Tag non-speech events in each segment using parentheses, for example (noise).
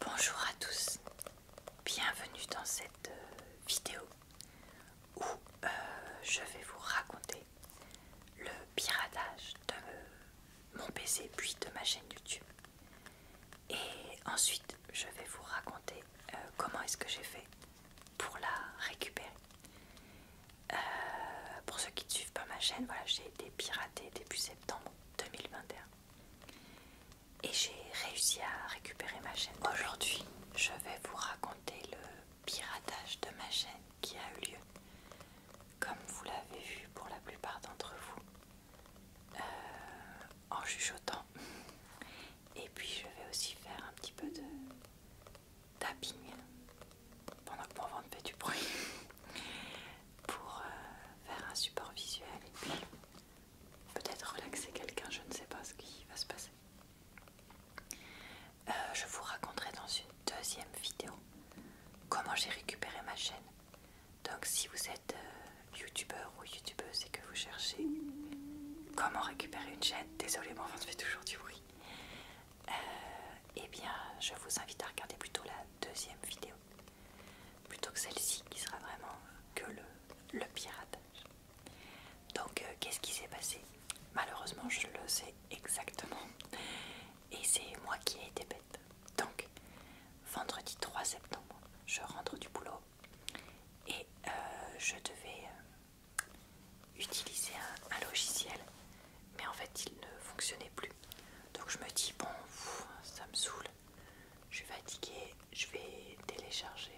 Bonjour à tous, bienvenue dans cette euh, vidéo où euh, je vais vous raconter le piratage de mon PC puis de ma chaîne YouTube. Et ensuite je vais vous raconter euh, comment est-ce que j'ai fait pour la récupérer. pour ceux qui ne suivent pas ma chaîne, voilà, j'ai été piratée depuis septembre 2021. Et j'ai réussi à récupérer ma chaîne. Aujourd'hui, je vais vous raconter le piratage de ma chaîne qui a eu lieu. Comme vous l'avez vu pour la plupart d'entre vous, euh, en chuchotant. Et puis je vais aussi faire un petit peu de tapping pendant que mon ventre fait du bruit pour euh, faire un support visuel et puis peut-être relaxer quelqu'un, je ne sais pas ce qui va se passer. Euh, je vous raconterai dans une deuxième vidéo comment j'ai récupéré ma chaîne. Donc si vous êtes euh, youtubeur ou youtubeuse et que vous cherchez comment récupérer une chaîne, désolé mon vent fait toujours du bruit, et eh bien je vous invite à regarder plutôt la deuxième vidéo plutôt que celle-ci qui sera vraiment euh, que le, piratage. Donc euh, qu'est-ce qui s'est passé Malheureusement je le sais exactement et c'est moi qui ai été bête. Donc vendredi 3 septembre je rentre du boulot et euh, je devais utiliser un, logiciel mais en fait il ne fonctionnait plus. Donc je me dis bon ça me saoule je suis fatiguée, je vais télécharger,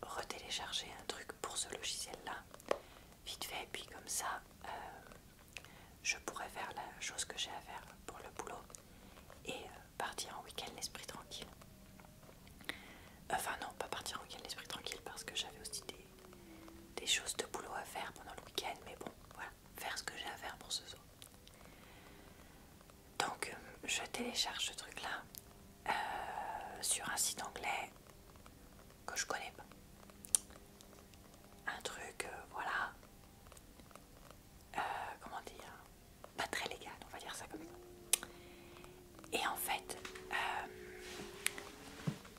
retélécharger un truc pour ce logiciel-là, vite fait, et puis comme ça, euh, je pourrais faire la chose que j'ai à faire pour le boulot et euh, partir en week-end l'esprit tranquille. Enfin non, pas partir en week-end l'esprit tranquille parce que j'avais aussi des choses de boulot à faire pendant le week-end, mais bon, voilà faire ce que j'ai à faire pour ce soir. Donc euh, je télécharge ce truc là euh, sur un site anglais que je connais pas. Un truc, euh, voilà, comment dire, pas très légal, on va dire ça comme ça. Et en fait,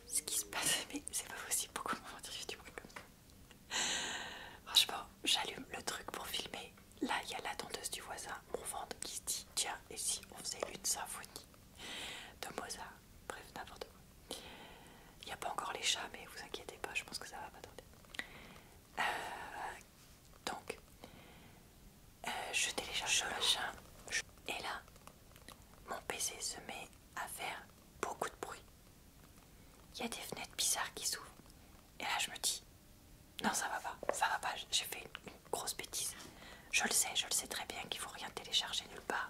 ce qui se passe, (laughs) mais c'est pas possible, pourquoi mon petit du bruit comme ça (laughs) Franchement, j'allume le truc pour filmer. Là, il y a la denteuse du voisin, mon ventre qui se dit Tiens, et si on faisait une symphonie de Mozart Bref, n'importe quoi. Il n'y a pas encore les chats, mais vous inquiétez pas, je pense que ça va pas tarder. Euh, donc, euh, je télécharge le machin, et là, mon PC se met à faire beaucoup de bruit. Il y a des fenêtres bizarres qui s'ouvrent. Et là, je me dis, non, ça va pas, ça va pas, j'ai fait une, grosse bêtise. Je le sais, je le sais très bien qu'il faut rien télécharger nulle part.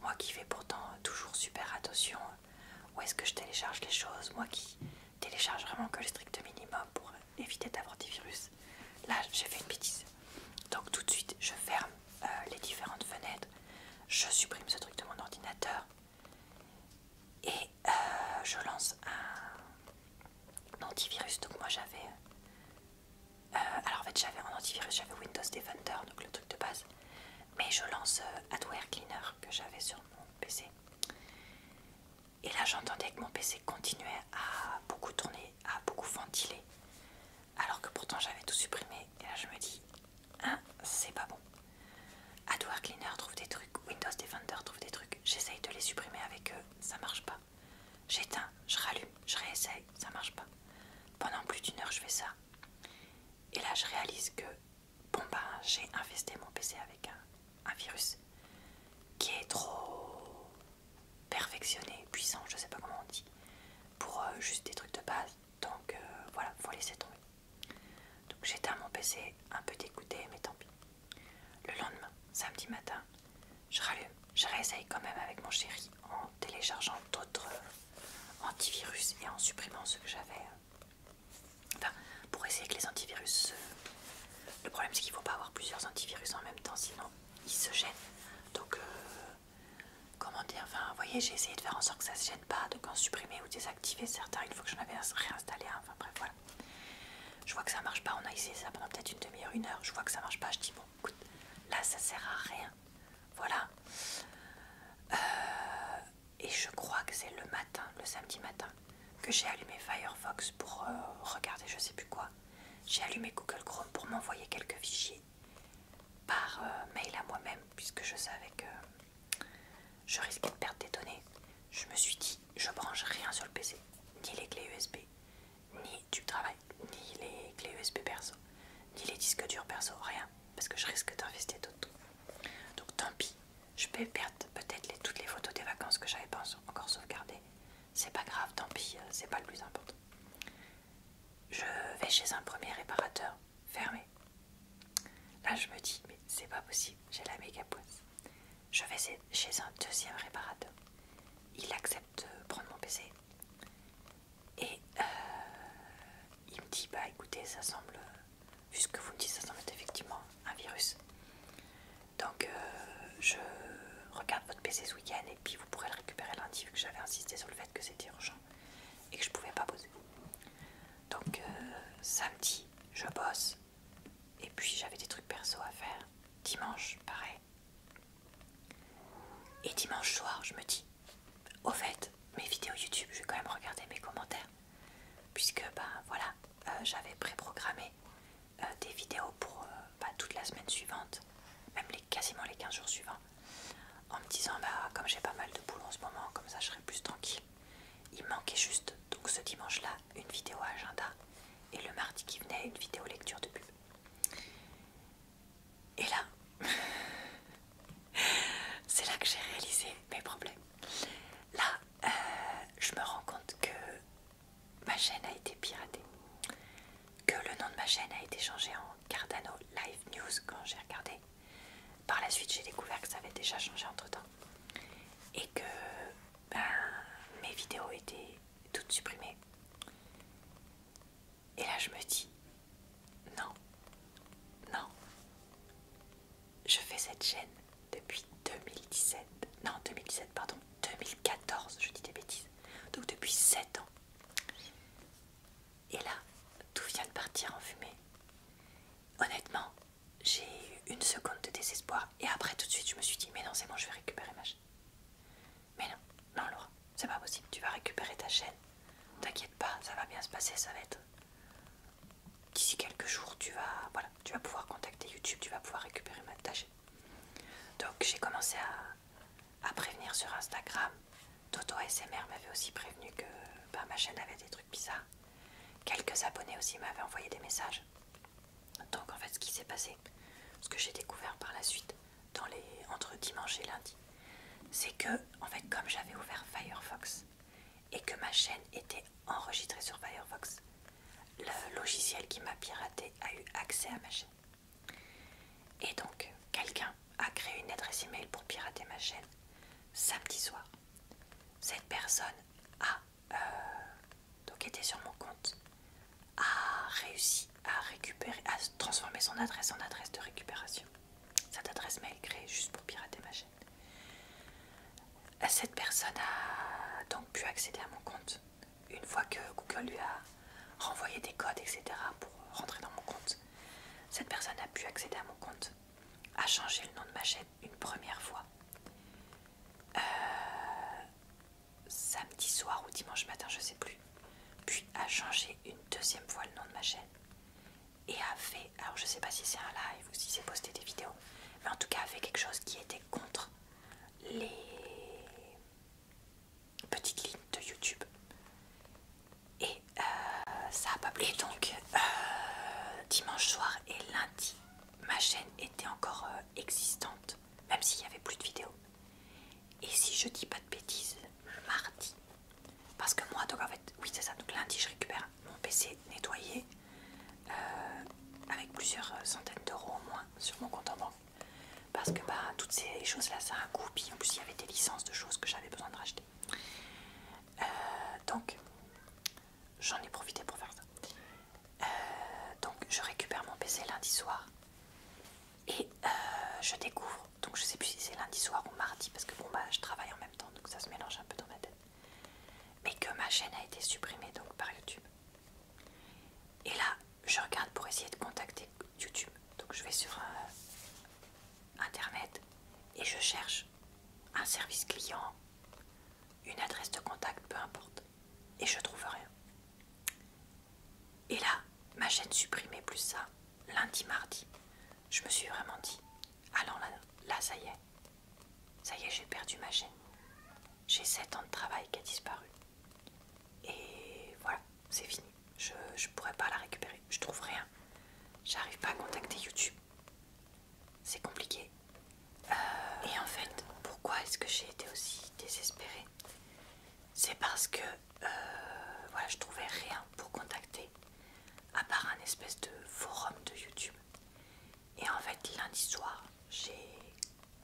Moi qui fais pourtant toujours super attention euh, où est-ce que je télécharge les choses, moi qui télécharge vraiment que le strict minimum pour éviter d'avoir des virus. Là, j'ai fait une bêtise. Donc tout de suite, je ferme euh, les différentes fenêtres, je supprime ce truc de mon ordinateur et euh, je lance un antivirus. Donc moi j'avais... Euh, alors en fait j'avais un antivirus, j'avais Windows Defender, donc le truc de base. Mais je lance euh, Adware Cleaner que j'avais sur mon PC. Et là j'entendais que mon PC continuait à beaucoup tourner, à beaucoup ventiler. Alors que pourtant j'avais tout supprimé. Et là je me dis, Hein, c'est pas bon. Adware Cleaner trouve des trucs, Windows Defender trouve des trucs. J'essaye de les supprimer avec eux, ça marche pas. J'éteins, je rallume, je réessaye, ça marche pas. Pendant plus d'une heure, je fais ça. Et là, je réalise que, bon ben, j'ai infesté mon PC avec un, virus qui est trop perfectionné, puissant, je sais pas comment on dit, pour euh, juste des trucs de base. Donc euh, voilà, faut laisser tomber. Donc j'éteins mon PC, un peu dégoûté, mais tant pis. Le lendemain, samedi matin, je rallume, je réessaye quand même avec mon chéri en téléchargeant d'autres euh, antivirus et en supprimant ceux que j'avais. Euh, enfin, pour essayer que les antivirus. Le problème c'est qu'il ne faut pas avoir plusieurs antivirus en même temps, sinon ils se gênent. Donc euh, comment dire, enfin, vous voyez, j'ai essayé de faire en sorte que ça ne se gêne pas, donc en supprimer ou désactiver certains une fois que j'en avais réinstallé un, enfin bref, voilà. Je vois que ça marche pas, on a essayé ça pendant peut-être une demi-heure, une heure, je vois que ça marche pas, je dis bon, écoute, là ça sert à rien, voilà. Euh, et je crois que c'est le matin, le samedi matin, que j'ai allumé Firefox pour euh, regarder je sais plus quoi. J'ai allumé Google Chrome pour m'envoyer quelques fichiers par euh, mail à moi-même, puisque je savais que je risquais de perdre des données. Je me suis dit, je branche rien sur le PC, ni les clés USB, ni du travail, ni les clés USB perso, ni les disques durs perso, rien, parce que je risque d'investir d'autres. Donc tant pis, je peux perdre peut-être toutes les photos des vacances que j'avais pas encore sauvegardées. C'est pas grave, tant pis, euh, c'est pas le plus important. Je vais chez un premier réparateur fermé. Là, je me dis, mais c'est pas possible, j'ai la méga poisse. Je vais chez un deuxième réparateur. Il accepte de prendre mon PC. Et euh, il me dit, bah écoutez, ça semble, vu ce que vous me dites, ça semble être effectivement un virus. Donc, euh, je regarde votre PC ce week-end et puis vous pourrez le récupérer lundi, vu que j'avais insisté sur le fait que c'était urgent et que je pouvais pas poser. Donc euh, samedi, je bosse. Et puis j'avais des trucs perso à faire. Dimanche, pareil. Et dimanche soir, je me dis, au fait, mes vidéos YouTube, je vais quand même regarder mes commentaires. Puisque, ben, voilà, euh, j'avais préprogrammé euh, des vidéos pour ben, toute la semaine suivante, même les, quasiment les 15 jours suivants en me disant bah comme j'ai pas mal de boulot en ce moment comme ça je serais plus tranquille il manquait juste donc ce dimanche là une vidéo agenda et le mardi qui venait une vidéo lecture de pub et là (laughs) c'est là que j'ai réalisé mes problèmes là euh, je me rends compte que ma chaîne a été piratée que le nom de ma chaîne a été changé en Cardano Live News quand j'ai regardé. Par la suite, j'ai découvert que ça avait déjà changé entre temps et que ben, mes vidéos étaient toutes supprimées. Et là, je me dis, non, non, je fais cette chaîne depuis 2017, non, 2017, pardon, 2014, je dis des bêtises, donc depuis 7 ans. Et là, tout vient de partir en fumée. Honnêtement, j'ai eu une seconde de désespoir et après tout de suite je me suis dit mais non c'est bon je vais récupérer ma chaîne. Mais non, non Laura, c'est pas possible, tu vas récupérer ta chaîne. T'inquiète pas, ça va bien se passer, ça va être. D'ici quelques jours, tu vas. Voilà, tu vas pouvoir contacter YouTube, tu vas pouvoir récupérer ma, ta chaîne. Donc j'ai commencé à à prévenir sur Instagram. Toto SMR m'avait aussi prévenu que bah, ma chaîne avait des trucs bizarres. Quelques abonnés aussi m'avaient envoyé des messages. Donc en fait, ce qui s'est passé, ce que j'ai découvert par la suite, entre dimanche et lundi, c'est que, en fait, comme j'avais ouvert Firefox et que ma chaîne était enregistrée sur Firefox, le logiciel qui m'a piraté a eu accès à ma chaîne. Et donc, quelqu'un a créé une adresse email pour pirater ma chaîne samedi soir. Cette personne a, euh, donc été sur mon compte, a réussi à récupérer, à transformer son adresse en adresse de récupération. Cette adresse mail créée juste pour pirater ma chaîne. Cette personne a donc pu accéder à mon compte une fois que Google lui a renvoyer des codes, etc. pour rentrer dans mon compte. Cette personne a pu accéder à mon compte, a changé le nom de ma chaîne une première fois. Euh, samedi soir ou dimanche matin, je sais plus. Puis a changé une deuxième fois le nom de ma chaîne. Et a fait, alors je sais pas si c'est un live ou si c'est posté des vidéos, mais en tout cas a fait quelque chose qui était contre les petite ligne de YouTube. Et euh, ça a pas plu. donc, euh, dimanche soir et lundi, ma chaîne était encore euh, existante, même s'il y avait plus de vidéos. Et si je dis pas de bêtises, mardi, parce que moi, donc en fait, oui, c'est ça. Donc lundi, je récupère mon PC nettoyé avec plusieurs centaines d'euros au moins sur mon compte en banque parce que bah, toutes ces choses-là, ça a un Puis en plus, il y avait des licences de choses que j'avais besoin de racheter. Euh, donc, j'en ai profité pour faire ça. Euh, donc, je récupère mon PC lundi soir et euh, je découvre. Donc, je sais plus si c'est lundi soir ou mardi parce que bon, bah, je travaille en même temps, donc ça se mélange un peu dans ma tête. Mais que ma chaîne a été supprimée donc par YouTube. Et là, je regarde pour essayer de contacter YouTube. Donc, je vais sur un internet et je cherche un service client, une adresse de contact, peu importe, et je trouve rien. Et là, ma chaîne supprimée plus ça, lundi, mardi, je me suis vraiment dit, allons ah là, là ça y est, ça y est, j'ai perdu ma chaîne. J'ai 7 ans de travail qui a disparu. Et voilà, c'est fini. Je ne pourrais pas la récupérer. Je trouve rien. J'arrive pas à contacter YouTube. C'est compliqué. Euh, et en fait, pourquoi est-ce que j'ai été aussi désespérée C'est parce que euh, voilà, je trouvais rien pour contacter, à part un espèce de forum de YouTube. Et en fait, lundi soir, j'ai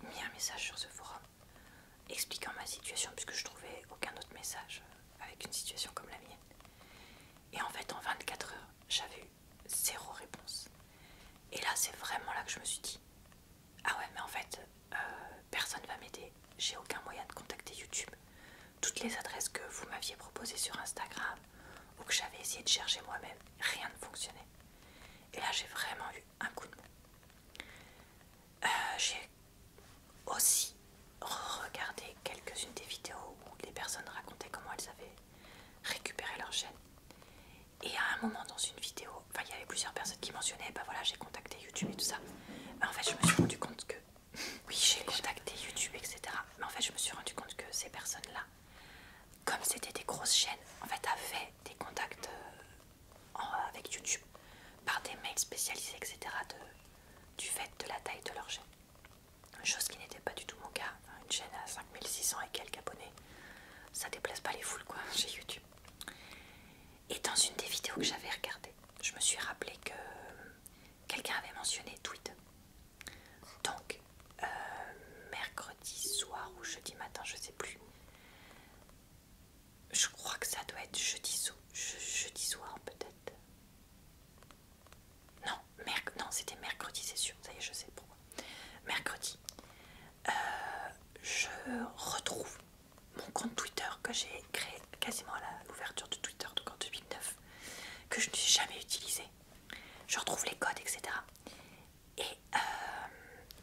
mis un message sur ce forum expliquant ma situation puisque je trouvais aucun autre message avec une situation comme la mienne. Et en fait en 24 heures j'avais eu zéro réponse. Et là c'est vraiment là que je me suis dit ah ouais mais en fait euh, personne va m'aider, j'ai aucun moyen de contacter YouTube. Toutes les adresses que vous m'aviez proposées sur Instagram ou que j'avais essayé de chercher moi-même, rien ne fonctionnait. Et là j'ai vraiment eu un coup de mou. Euh, j'ai aussi regarder quelques-unes des vidéos où les personnes racontaient comment elles avaient récupéré leur chaîne. Et à un moment dans une vidéo, enfin il y avait plusieurs personnes qui mentionnaient, bah voilà j'ai contacté YouTube et tout ça. Mais en fait je me suis rendu compte que, (laughs) oui j'ai contacté YouTube etc. Mais en fait je me suis rendu compte que ces personnes-là, comme c'était des grosses chaînes, en fait avaient des contacts euh, avec YouTube par des mails spécialisés, etc. du fait de la taille de leur chaîne. Chose qui n'était pas du tout mon cas. Une chaîne à 5600 et quelques abonnés, ça déplace pas les foules quoi (laughs) chez YouTube. Et dans une des vidéos que j'avais regardées, je me suis rappelé que euh, quelqu'un avait mentionné Tweet. Donc, euh, mercredi soir ou jeudi matin, je sais plus, je crois que ça doit être jeudi, jeudi soir peut-être. Non, non c'était mercredi, c'est sûr. Ça y est, je sais pourquoi. Mercredi, euh, je retrouve mon compte Twitter que j'ai créé quasiment à l'ouverture de Twitter, donc en 2009, que je n'ai jamais utilisé. Je retrouve les codes, etc. Euh,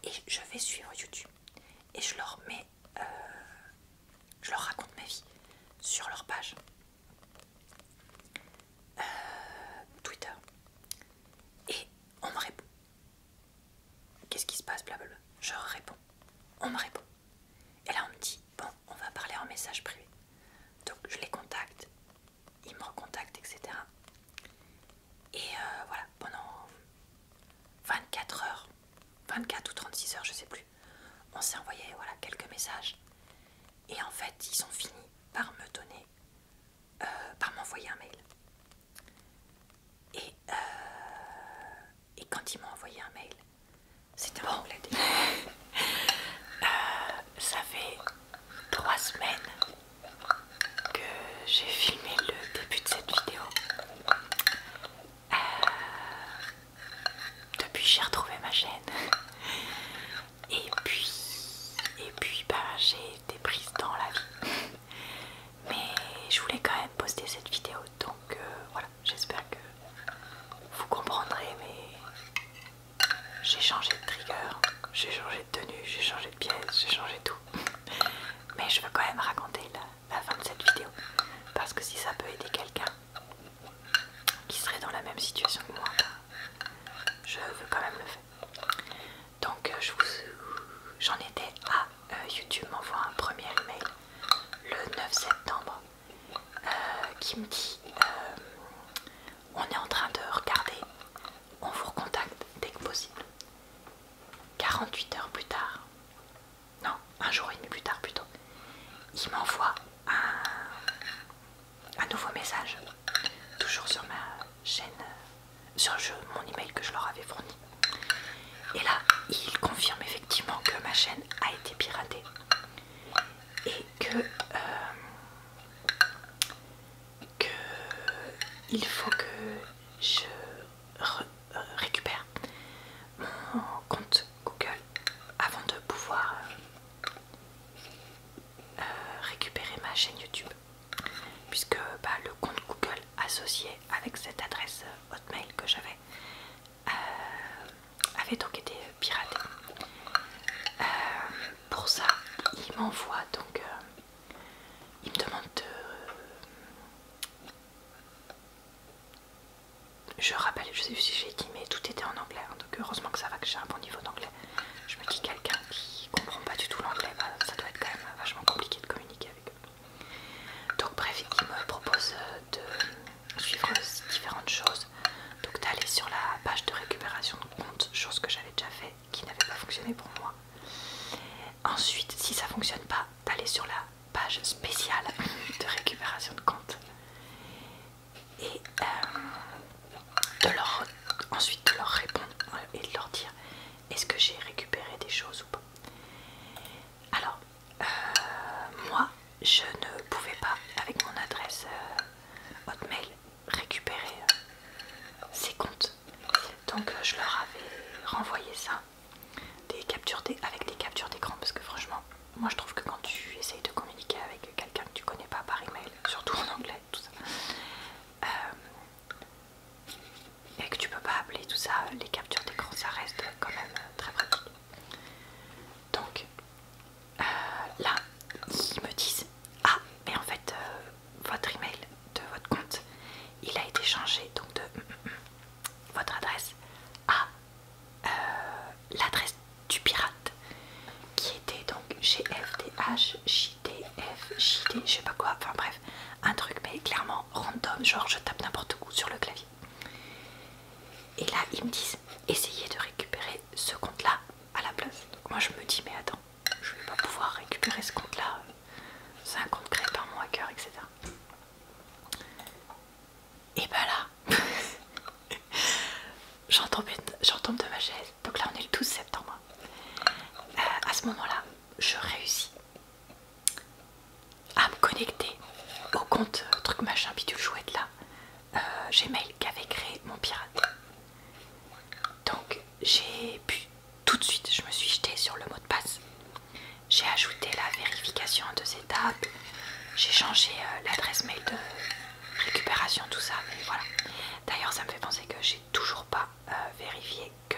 et, je vais suivre YouTube. Et je leur mets euh, je leur raconte ma vie sur leur page euh, Twitter. Et on me répond. Qu'est-ce qui se passe, blablabla Je réponds. On me répond. Et là, on me dit, bon, on va parler en message privé. Donc, je les contacte, ils me recontactent, etc. Et euh, voilà, pendant 24 heures, 24 ou 36 heures, je sais plus. On s'est envoyé voilà, quelques messages. Et en fait, ils ont fini par me donner, euh, par m'envoyer un mail. Et, euh, et quand ils m'ont envoyé un mail, c'était bon. anglais (laughs) euh, ça fait trois semaines que j'ai filmé le début de cette vidéo. Euh, depuis j'ai retrouvé ma chaîne. Et puis, et puis bah, j'ai été prise dans la vie. Mais je voulais quand même poster cette vidéo. Donc euh, voilà, j'espère que vous comprendrez. Mais j'ai changé de trigger, j'ai changé de tenue, j'ai changé de pièce, j'ai changé tout. Mais je veux quand même raconter là la fin de cette vidéo. Parce que si ça peut aider quelqu'un qui serait dans la même situation que moi, je veux quand même le faire. Donc euh, vous j'en étais à euh, YouTube m'envoie un premier email le 9 septembre euh, qui me dit on est en train de regarder, on vous recontacte dès que possible. 48 heures plus tard, non, un jour et demi plus tard plutôt, il m'envoie un, nouveau message, toujours sur ma chaîne, sur mon email que je leur avais fourni. Et là, il confirme effectivement que ma chaîne a été piratée et que, euh, que il faut que je euh, récupère mon compte Google avant de pouvoir euh, euh, récupérer ma chaîne YouTube puisque bah, le compte Google associé avec cette adresse Hotmail que j'avais avait donc été piraté. pour ça, il m'envoie donc, il me demande de, je rappelle, je sais plus si j'ai dit, mais tout était en anglais, hein, donc heureusement que ça va que j'ai un bon niveau d'anglais. Je me dis quelqu'un qui comprend pas du tout l'anglais, bah, ça doit être quand même vachement compliqué de communiquer avec eux. Donc bref, il me propose euh, de suivre différentes choses, donc d'aller sur la page de récupération de compte, chose que j'avais déjà fait, qui n'avait pas fonctionné pour moi, Ensuite, si ça fonctionne pas, d'aller sur la page spéciale de récupération de compte et euh, ensuite de leur répondre euh, et de leur dire est-ce que j'ai récupéré des choses ou pas. Alors, euh, moi, je ne pouvais pas, avec mon adresse Hotmail, récupérer ces comptes. Donc, je leur avais renvoyé ça des captures avec des captures d'écran parce que franchement moi je trouve que quand tu essayes de communiquer avec quelqu'un que tu connais pas par email surtout en anglais tout ça euh, et que tu peux pas appeler tout ça les captures d'écran ça reste quand même très pratique donc euh, là ils me disent ah mais en fait euh, votre email de votre compte, il a été changé donc de mm, mm, mm, votre adresse à euh, l'adresse du pirate qui était donc GFDH, je sais pas quoi, enfin bref, un truc mais clairement random, genre je tape n'importe où sur le clavier. Et là ils me disent essayez de récupérer ce compte là à la place. moi je me dis mais attends, je vais pas pouvoir récupérer ce compte là c'est un compte créé par mon hacker, etc. Et bah ben là, (laughs) j'en tombe, de ma chaise. Donc là, on est le 12 septembre. Euh, à ce moment-là, je réussis à me connecter au compte euh, truc machin bidule chouette là, euh, Gmail qu'avait créé mon pirate. Donc j'ai pu tout de suite, je me suis jetée sur le mot de passe. J'ai ajouté la vérification en deux étapes. J'ai changé euh, l'adresse mail de récupération, tout ça. Mais voilà. D'ailleurs, ça me fait penser que j'ai toujours pas euh, vérifié que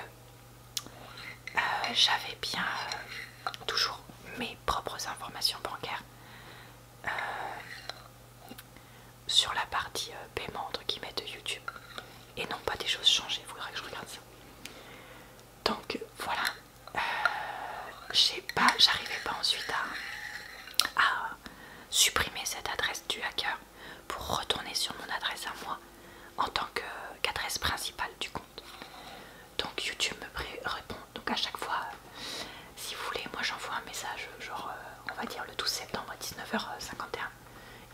euh, j'avais bien toujours mes propres informations bancaires sur la partie paiement entre guillemets de YouTube et non pas des choses changées. vous faudra que je regarde ça. Donc voilà, euh, pas, j'arrivais pas ensuite à, supprimer cette adresse du hacker pour retourner sur mon adresse à moi en tant qu'adresse principale du compte. Donc YouTube me répond. Donc à chaque fois, si vous voulez, moi j'envoie un message, genre euh, on va dire le 12 septembre à 19h51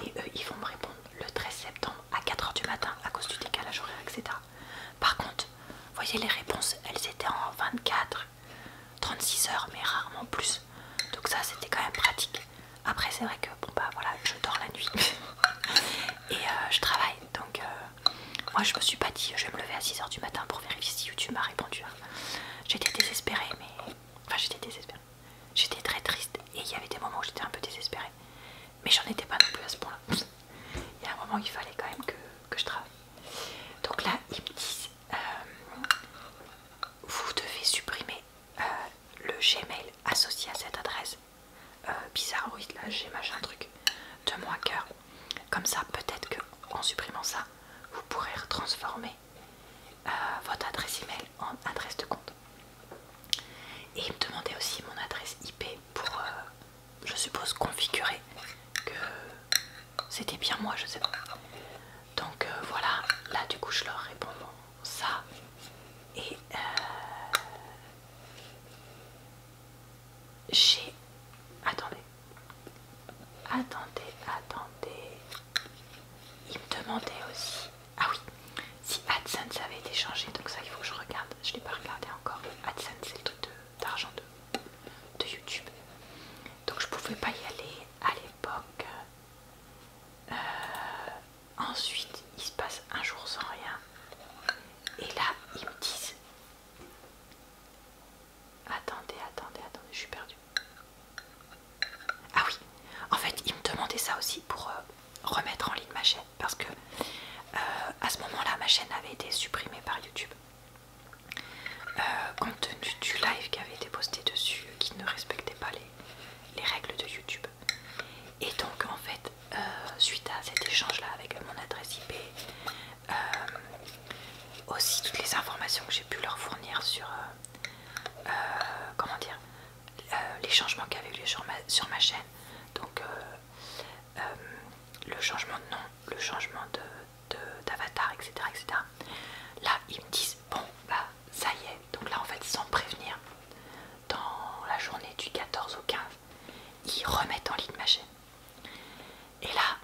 et eux, ils vont me répondre le 13 septembre à 4h du matin à cause du décalage horaire, etc. Par contre, voyez les réponses, elles étaient en 24, 36 heures, mais rarement plus. Donc ça, c'était quand même pratique. Après, c'est vrai que, bon bah voilà, je dors la nuit. (laughs) Et euh, je travaille, donc euh, moi je me suis pas dit, je vais me lever à 6h du matin pour vérifier si YouTube m'a répondu. Hein. J'étais désespérée, mais... Enfin, j'étais désespérée. J'étais très triste et il y avait des moments où j'étais un peu désespérée. Mais j'en étais pas non plus à ce point-là. Il y a un moment où il fallait quand même que, je travaille. Donc là, ils me disent euh, Vous devez supprimer euh, le Gmail associé à cette adresse. Euh, bizarre oui là, j'ai machin truc de mon cœur Comme ça, peut-être que en supprimant ça, vous pourrez transformer votre adresse email en adresse de compte. Et il me demandait aussi mon adresse IP pour, euh, je suppose, configurer que c'était bien moi, je sais pas. Donc euh, voilà, là du coup je leur réponds ça. Et euh, j'ai... Attendez. Attendez, attendez. Il me demandait aussi ah oui, si AdSense avait été changé, donc ça il faut que je regarde, je ne l'ai pas regardé encore. AdSense c'est le truc d'argent de, YouTube. Donc je pouvais pas y aller à l'époque. Euh, ensuite, il se passe un jour sans rien. Et là, ils me disent... Attendez, attendez, attendez, je suis perdue. Ah oui, en fait, il me demandait ça aussi pour euh, remettre en ligne ma chaîne parce que euh, à ce moment-là, ma chaîne avait été supprimée par YouTube. Euh, compte tenu du live qui avait été posté dessus, qui ne respectait pas les, règles de YouTube. Et donc, en fait, suite à cet échange-là avec mon adresse IP, aussi toutes les informations que j'ai pu leur fournir sur, comment dire, euh, les changements qu'il y avait eu sur ma, sur ma chaîne. Donc, euh, euh, le changement de nom, le changement d'avatar, etc., etc. Là, ils me disent Bon, bah, ça y est. Donc, là, en fait, sans prévenir, dans la journée du 14 au 15, ils remettent en ligne ma chaîne. Et là,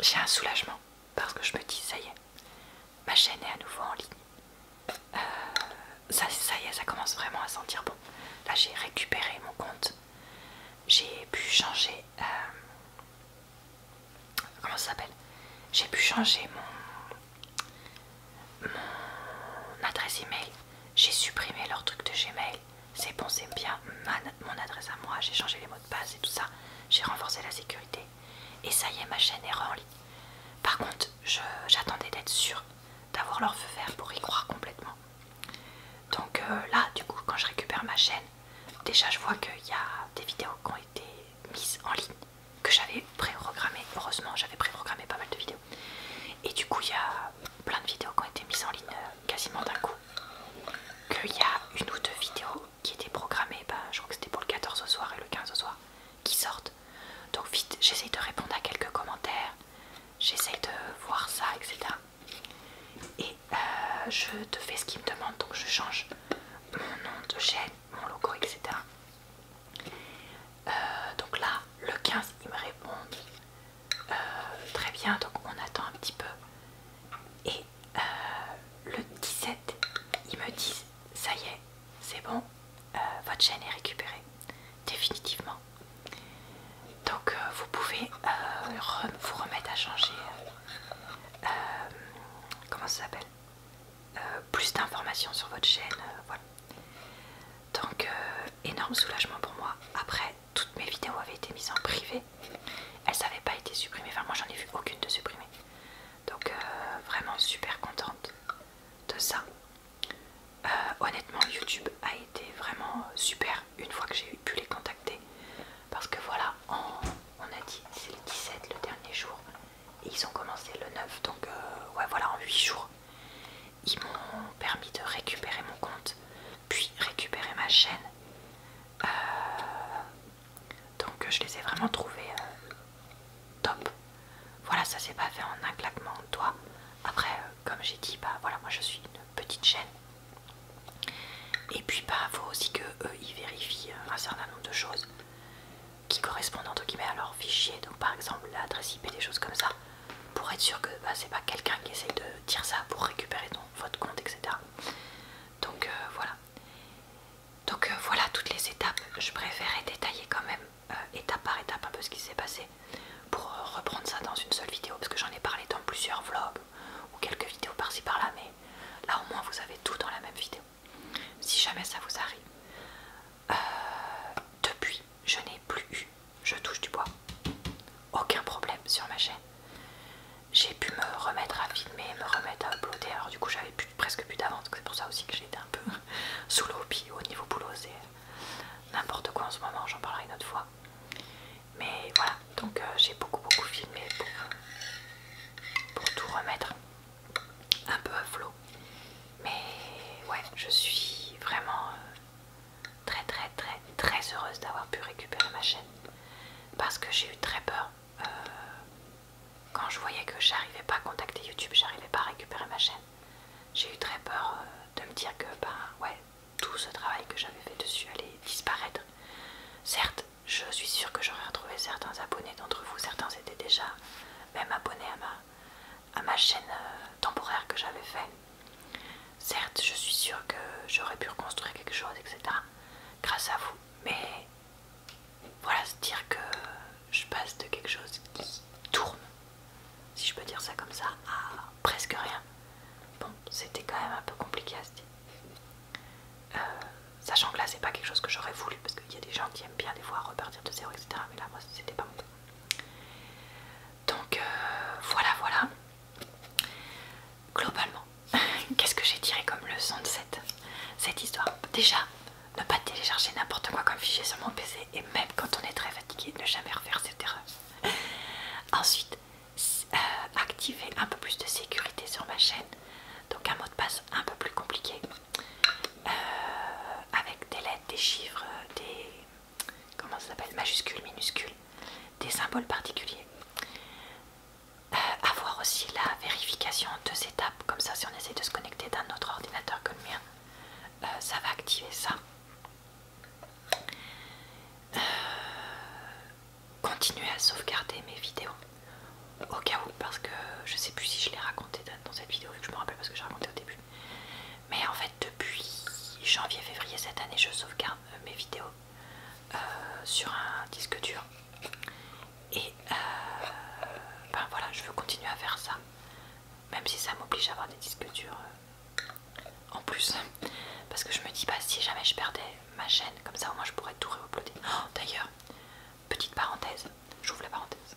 j'ai un soulagement parce que je me dis, ça y est, ma chaîne est à nouveau en ligne. Euh, ça, y est, ça commence vraiment à sentir bon. Là, j'ai récupéré mon compte. J'ai pu changer... Euh, comment ça s'appelle J'ai pu changer mon, mon adresse email. J'ai supprimé leur truc de Gmail. C'est bon, c'est bien. mon adresse à moi, j'ai changé les mots de passe et tout ça. J'ai renforcé la sécurité et ça y est, ma chaîne est en ligne. Par contre, j'attendais d'être sûr, d'avoir leur feu vert pour y croire complètement. Donc euh, là, du coup, quand je récupère ma chaîne, déjà je vois qu'il y a des vidéos qui ont été mises en ligne, que j'avais pré-programmées. Heureusement, j'avais pré-programmé pas mal de vidéos. Et du coup, il y a plein de vidéos qui ont été mises en ligne euh, quasiment d'un coup. Qu'il y a une ou deux vidéos qui était programmé, ben, je crois que c'était pour le 14 au soir et le 15 au soir, qui sortent. Donc vite, j'essaye de répondre à quelques commentaires, j'essaye de voir ça, etc. Et euh, je te fais ce qu'ils me demandent, donc je change mon nom de chaîne, mon logo, etc. Euh, donc là, le 15, ils me répondent euh, très bien, donc on attend un petit peu. Euh, le 17, ils me disent ça y est, c'est bon, euh, votre chaîne est récupérée définitivement. Donc euh, vous pouvez vous remettre à changer, comment ça s'appelle, plus d'informations sur votre chaîne, voilà. Donc énorme soulagement pour moi. Après, toutes mes vidéos avaient été mises en privé elles n'avaient pas été supprimées, enfin moi j'en ai vu aucune de supprimée. Donc euh, vraiment super contente de ça. Euh, honnêtement YouTube a été vraiment super une fois que j'ai pu les contacter. Parce que voilà, on a dit c'est le 17 le dernier jour. Et ils ont commencé le 9, donc euh, ouais voilà en 8 jours. Ils m'ont permis de récupérer mon compte, puis récupérer ma chaîne. Donc je les ai vraiment trouvés euh, top. Voilà, ça s'est pas fait en un claquement de doigts. Après, euh, comme j'ai dit, bah voilà, moi je suis une petite chaîne. Et puis bah faut aussi que ils vérifient euh, un certain nombre de choses qui correspondent entre guillemets à leur fichier. Donc par exemple l'adresse IP, des choses comme ça, pour être sûr que bah, c'est pas quelqu'un qui essaie de dire ça pour récupérer ton, votre compte, etc. Donc voilà, donc euh, voilà toutes les étapes. Je préférais détailler quand même euh, étape par étape un peu ce qui s'est passé pour euh, reprendre ça dans une seule vidéo parce que j'en ai parlé dans plusieurs vlogs ou quelques vidéos par-ci par-là, mais là au moins vous avez tout dans la même vidéo. Si jamais ça vous arrive. depuis, je n'ai plus eu, je touche du bois, aucun problème sur ma chaîne j'ai pu me remettre à filmer, me remettre à uploader. Alors, du coup, j'avais presque plus d'avance, c'est pour ça aussi que j'étais un peu (laughs) sous l'eau. au niveau boulot, c'est euh, n'importe quoi en ce moment, j'en parlerai une autre fois. Mais voilà, donc euh, j'ai beaucoup, beaucoup filmé pour, tout remettre un peu à flot. Mais ouais, je suis vraiment euh, très, très, très, très heureuse d'avoir pu récupérer ma chaîne parce que j'ai eu très peur euh, quand je voyais que j'arrivais pas à contacter YouTube, j'arrivais pas à récupérer ma chaîne, j'ai eu très peur euh, de me dire que ben ouais, tout ce travail que j'avais fait dessus allait disparaître. Certes, je suis sûre que j'aurais retrouvé certains abonnés d'entre vous, certains étaient déjà même abonnés à ma, à ma chaîne euh, temporaire que j'avais faite. Certes, je suis sûre que j'aurais pu reconstruire quelque chose, etc. Grâce à vous, mais voilà, se dire que je passe de quelque chose qui tourne, si je peux dire ça comme ça, à presque rien. Bon, c'était quand même un peu compliqué à se dire. Euh, sachant que là, c'est pas quelque chose que j'aurais voulu, parce qu'il y a des gens qui aiment bien des fois repartir de zéro, etc. Mais là, moi, c'était pas mon cas. Donc euh, voilà, voilà. Globalement, (laughs) qu'est-ce que j'ai tiré comme leçon de cette, histoire Déjà, ne pas télécharger n'importe quoi comme fichier sur mon PC et même quand on est très fatigué, ne jamais refaire cette erreur. (laughs) Ensuite, euh, activer un peu plus de sécurité sur ma chaîne, donc un mot de passe un peu plus compliqué, euh, avec des lettres, des chiffres, des comment ça s'appelle, majuscules, minuscules, des symboles particuliers. Euh, avoir aussi la vérification en deux étapes, comme ça si on essaie de se connecter d'un autre ordinateur que le mien, euh, ça va activer ça. Euh, continuer à sauvegarder mes vidéos au cas où parce que je sais plus si je l'ai raconté dans cette vidéo vu que je me rappelle ce que j'ai raconté au début mais en fait depuis janvier février cette année je sauvegarde mes vidéos euh, sur un disque dur et euh, ben voilà je veux continuer à faire ça même si ça m'oblige à avoir des disques durs euh, en plus parce que je me dis bah si jamais je perdais ma chaîne comme ça au moins je pourrais tout réuploader oh, d'ailleurs petite parenthèse j'ouvre la parenthèse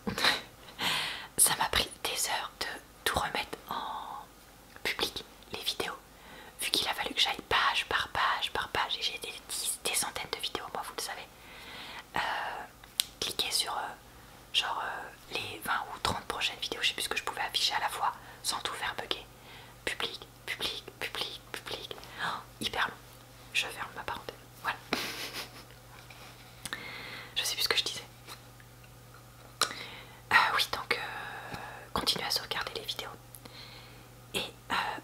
(laughs) ça m'a pris des heures de tout remettre en public les vidéos vu qu'il a fallu que j'aille page par page par page, et j'ai des, des, centaines de vidéos, moi vous le savez, cliquez euh, cliquer sur euh, genre euh, les 20 ou 30 prochaines vidéos, je sais plus ce que je pouvais afficher à la fois, sans tout faire bugger. Public, public, public, public, oh, hyper long. Je ferme ma parenthèse, voilà. (laughs) je sais plus ce que je disais. oui, donc continuez à sauvegarder les vidéos et euh,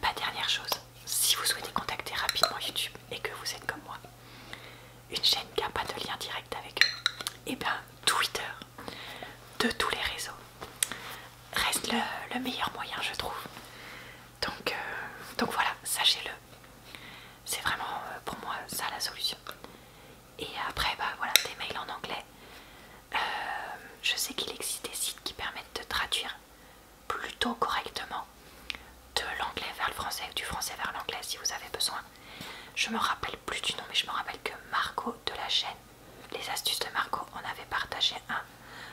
bah, dernière chose, si vous souhaitez contacter rapidement YouTube et que vous êtes comme moi, une chaîne qui n'a pas de lien direct avec eux, et eh bien Twitter de tous les réseaux reste le, meilleur moyen, je trouve. Donc, euh, donc voilà, sachez-le. C'est vraiment euh, pour moi ça la solution. Et après, bah voilà, des mails en anglais euh, je sais qu'il existe des sites qui permettent de traduire plutôt correctement de l'anglais vers le français ou du français vers l'anglais si vous avez besoin. Je me rappelle plus du nom, mais je me rappelle que Marco de la chaîne Les Astuces de Marco, on avait partagé un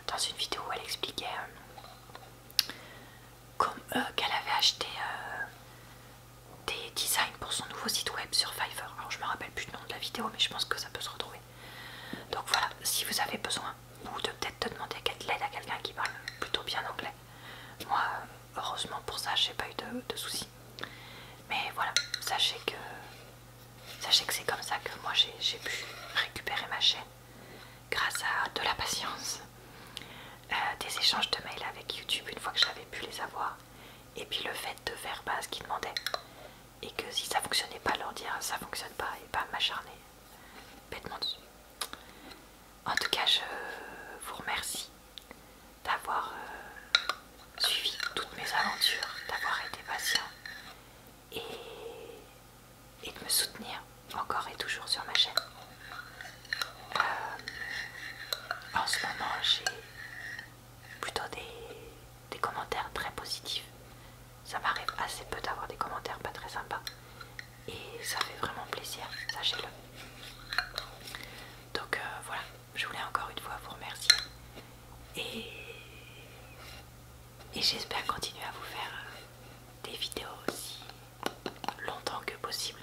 dans une vidéo où elle expliquait euh, comme qu'elle avait acheté euh, des designs pour son nouveau site web sur Fiverr. Alors je me rappelle plus le nom de la vidéo, mais je pense que ça peut se retrouver. Donc voilà, si vous avez besoin, ou de peut-être te demander de l'aide à quelqu'un qui parle plutôt bien anglais. Moi, heureusement pour ça, j'ai pas eu de, soucis. Mais voilà, sachez que sachez que c'est comme ça que moi j'ai pu récupérer ma chaîne grâce à de la patience, euh, des échanges de mails avec YouTube une fois que j'avais pu les avoir, et puis le fait de faire pas ce qu'ils demandaient et que si ça fonctionnait pas, leur dire ça fonctionne pas et pas m'acharner bêtement dessus. En tout cas, je vous remercie d'avoir euh, suivi toutes mes aventures, d'avoir été patient et, et de me soutenir encore et toujours sur ma chaîne. Euh, en ce moment, j'ai plutôt des, commentaires très positifs. Ça m'arrive assez peu d'avoir des commentaires pas très sympas. Et ça fait vraiment plaisir, sachez-le. Donc euh, voilà, je voulais encore une fois vous remercier. Et, et j'espère continuer à vous faire euh, des vidéos aussi longtemps que possible.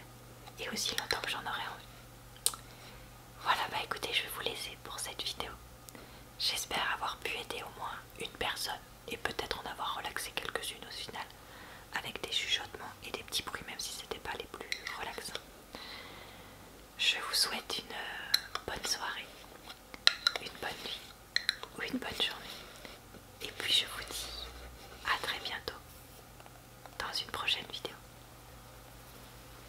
Et aussi longtemps que j'en aurai envie. Voilà, bah écoutez, je vais vous laisser pour cette vidéo. J'espère avoir pu aider au moins une personne et peut-être en avoir relaxé quelques-unes au final avec des chuchotements et des petits bruits même si ce n'était pas les plus relaxants. Je vous souhaite une euh, bonne soirée, une bonne nuit ou une bonne journée. Et puis je vous dis à très bientôt dans une prochaine vidéo.